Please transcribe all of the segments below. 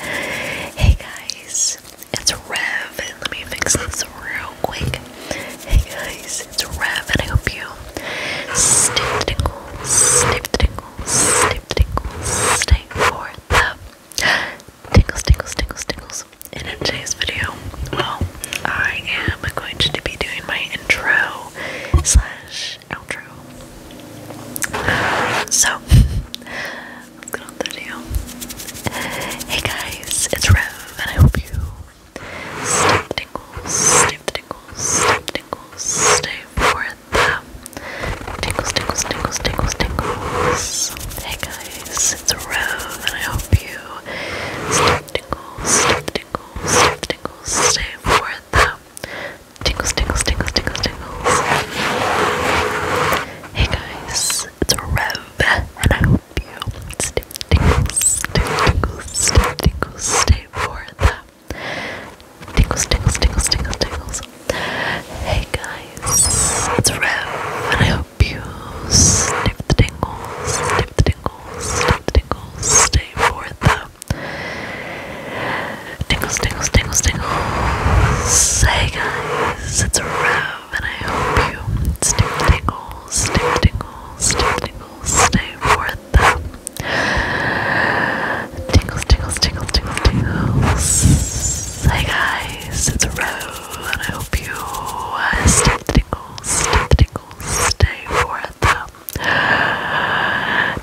Hey guys, it's Rev. Let me fix this real quick. Hey guys, it's Rev, and I hope you snip tingle, snip tingle, snip tingle, stay for the tingles, tingles, tingles, tingles. And in today's video, well, I am going to be doing my intro slash outro. So, let's Hey guys, it's Rev, and I hope you stay the tingles, stay the tingles, stay the tingles, stay for them. Tingles, tingles, tingles, tingles, tingles. Hey guys, it's Rev, and I hope you stay the tingles, stay the tingles, stay the tingles, stay for them. Tingles, tingles, tingles, tingles, tingles. Hey guys, it's Rev, and I hope you stay tingles, stay tingles, stay tingles, stay for the tingles, tingles, tingles, tingles, tingles. Hey guys, it's Rev, and I hope you stay for the tingles, stay for the tingles, stay for the tingles, stay for the Tingles, tingles, tingles, tingles. Hey guys, it's Rev, and I hope you stay tingles, stay tingles, stay tingles, stay for them. Tingles, tingles, tingles, tingles, tingles. Hey guys, it's Rev, and I hope you uh, stay tingles, stay tingles, stay for them.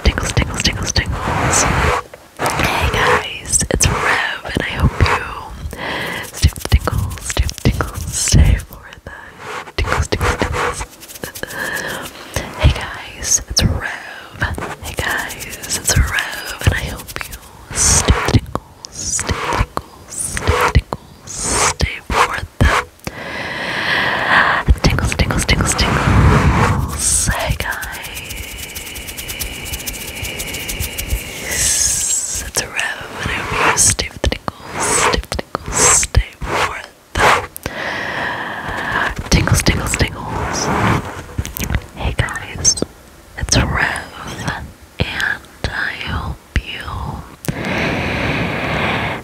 Tingles, tingles, tingles, tingles. Hey guys, it's Rev, and I hope you stay for the stay for the tingles, stay Hey guys, it's Rev. Hey guys, it's Rev, and I hope you stay for the tingles, stay for the tingles, stay for the Hey guys. It's a and I hope you stay for them. Tingles, tingles, tingles. Hey guys, it's Rev, and I hope you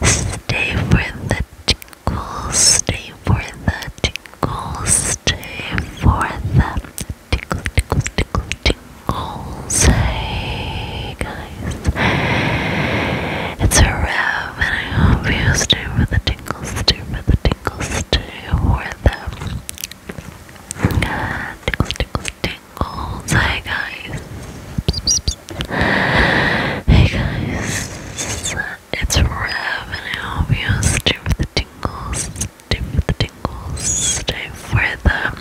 stay for the tickle, stay for the tickle, stay for the tickle, tickle, tickle, tickles. Hey guys, it's a wrap, and I hope you stay for the tickles, stay for the tickles, stay for the uh, tickles, tickles, tickles. Hey guys. Hey guys, it's revenue. You stay for the tingles, stay for the tingles, stay for the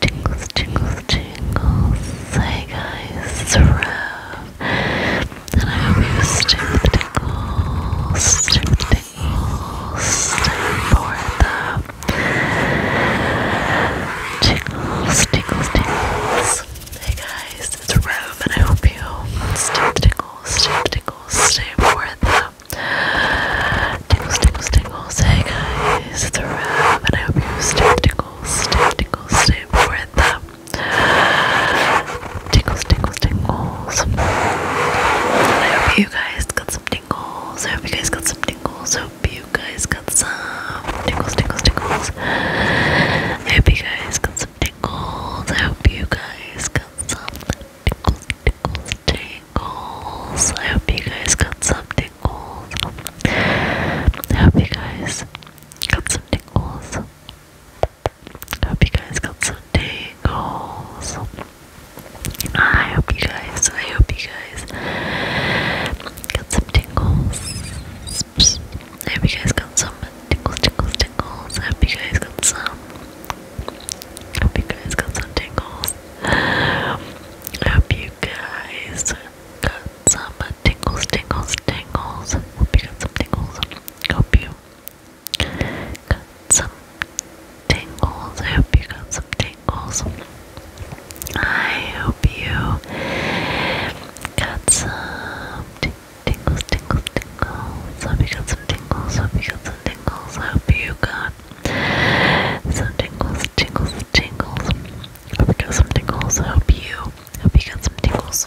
tingles, tingles, tingles. Hey guys, it's Rev. And I hope you stay for the tingles, stay for the tingles, stay for the tingles, tingles, tingles. Hey guys, it's Rome, and I hope you stay tingles, stay tingles, stay for them. Tingles, tingles, tingles. Hey guys, it's Rome, and I hope you stay tingles, stay tingles, stay for them. Tingles, tingles, tingles. And I hope you guys got some tingles. I hope you guys got some tingles. I hope you guys got some tingles, tingles, tingles guys. I hope you guys got some tingles. I hope you guys got some tingles, tingles, tingles. I hope you guys got some tingles. I hope you guys got some tingles. I hope you guys got some tingles. I hope you guys, I hope you guys got some tingles crisps. I hope you guys got some tickles, tickles, tickles. I hope you guys got some. I hope you guys got some tickles. I hope you guys got some tickles, tickles, tingles. Hope you got some tingles. Hope you got some tingles. I hope you got some tingles. I hope you Got some tingles, tingles, tingles. Hope you got some tingles. Hope you got some tingles. Hope you got some tingles, tingles, tingles. Hope you got some tingles. Hope you, hope you got some tingles.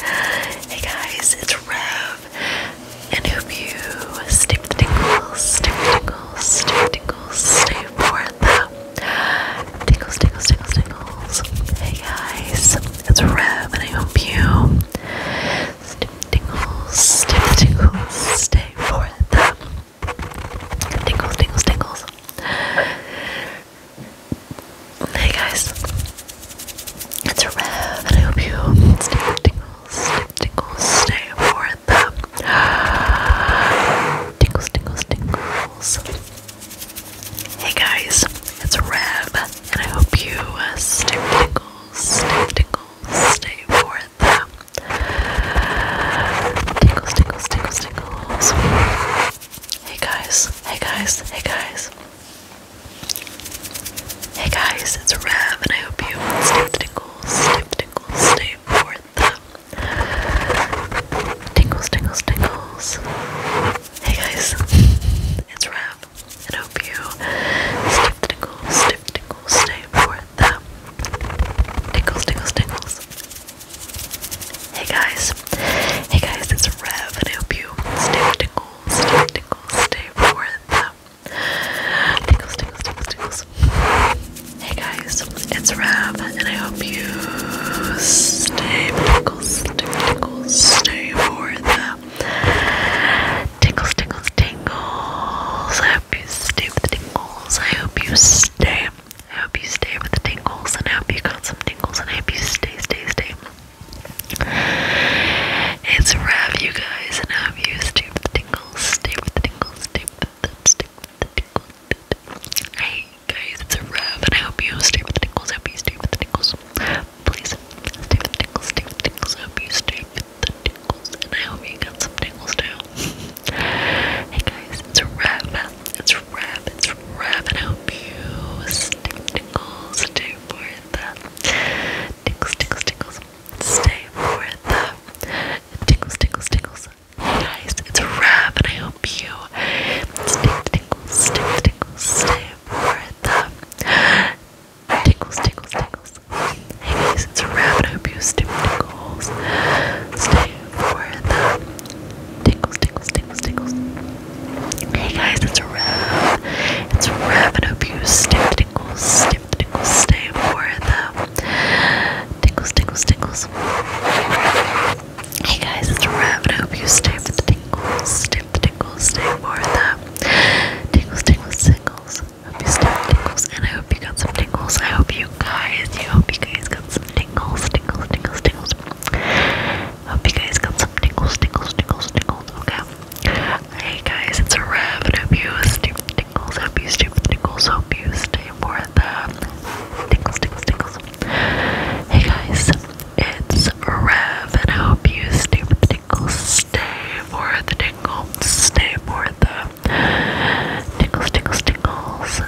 Hey guys, it's Rev, and hope you stick the tingles, stick the tingles, stick the tingles, stay for the Tingles, tingles, tingles, tingles. Hey guys, it's Rev, and I hope you stay tingles, tingles, stay for the tingles, tingles, tingles. Hey guys, it's Rev, and I hope you stay tingles, stay tingles, stay for breath. Tingles, tingles, tingles. Hey guys, it's Reb, and I hope you uh, stay tingles, stay stay for them. Tingles, tingles, tingles, tingles. Hey guys, hey guys, hey guys. Hey guys, it's Rev, and I hope you stay tingles, stay stay for them. Tingles, tingles, tingles. Hey guys, it's Rev, and hope you stiff tingles, stiff tingles, stay for the tingles, tingles, tingles. Hey guys, hey guys, it's Rev, and I hope you stiff tingles, stiff tingles, stay for the tingles, tingles, tingles, tingles, Hey guys, it's Rab, and I hope you stay tickles, tickles, stay for the tickles, tickles, tingles. I hope you stay with the tingles. I hope you stay. I hope you stay with the tingles, and I hope you got some tingles, and I hope you stay, stay, stay. It's Rav, you guys, and I hope you stay with the tingles, stay with the tingles, stay with the Hey guys, it's a rev, and I hope you stay with the tingles. I hope you stay with the tingles. Please stay with the tingles, stay with the tingles. I hope you stay with the tingles, and I hope you got some tingles too. hey guys, it's a rev, it's a rev, it's a rev, and I hope you stay with the tingles, stay for the tingles, tingles, tingles. Stay for the tingles, tingles, tingles guys, it's a wrap, and I hope you stick, tingles, stick, tingles, stay for the tingles, tingles, tingles. Hey guys, it's a and I hope you stick, tingles, stay for the tingles, tingles, tingles, tingles. Hey guys, it's a it's a and I hope you stick, tingles, stick, tingles, stay for the Tingles, tingles, tingles. Hey guys, it's Rav. I hope you stay for the tingles. Stay for the tingles. Stay for the tingles, tingles, tingles. Hope you stay for the tingles. And I hope you got some tingles. I hope you guys, you hope you guys got some tingles. Tingles, tingles, tingles. Hope you guys got some tingles, tingles, tingles, tingles. Okay. Hey guys, it's Rav. I hope you stay for the tingles. Hope you stay for the tingles. Hope you stay Thursday for the tingles, tingles, tingles. Hey guys, it's Rev, and I hope you stay for the tingles, stay for the tingles, stay for the tingles, tingles, tingles.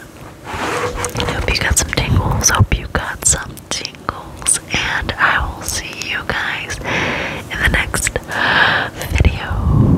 I hope you got some tingles, hope you got some tingles, and I will see you guys in the next video.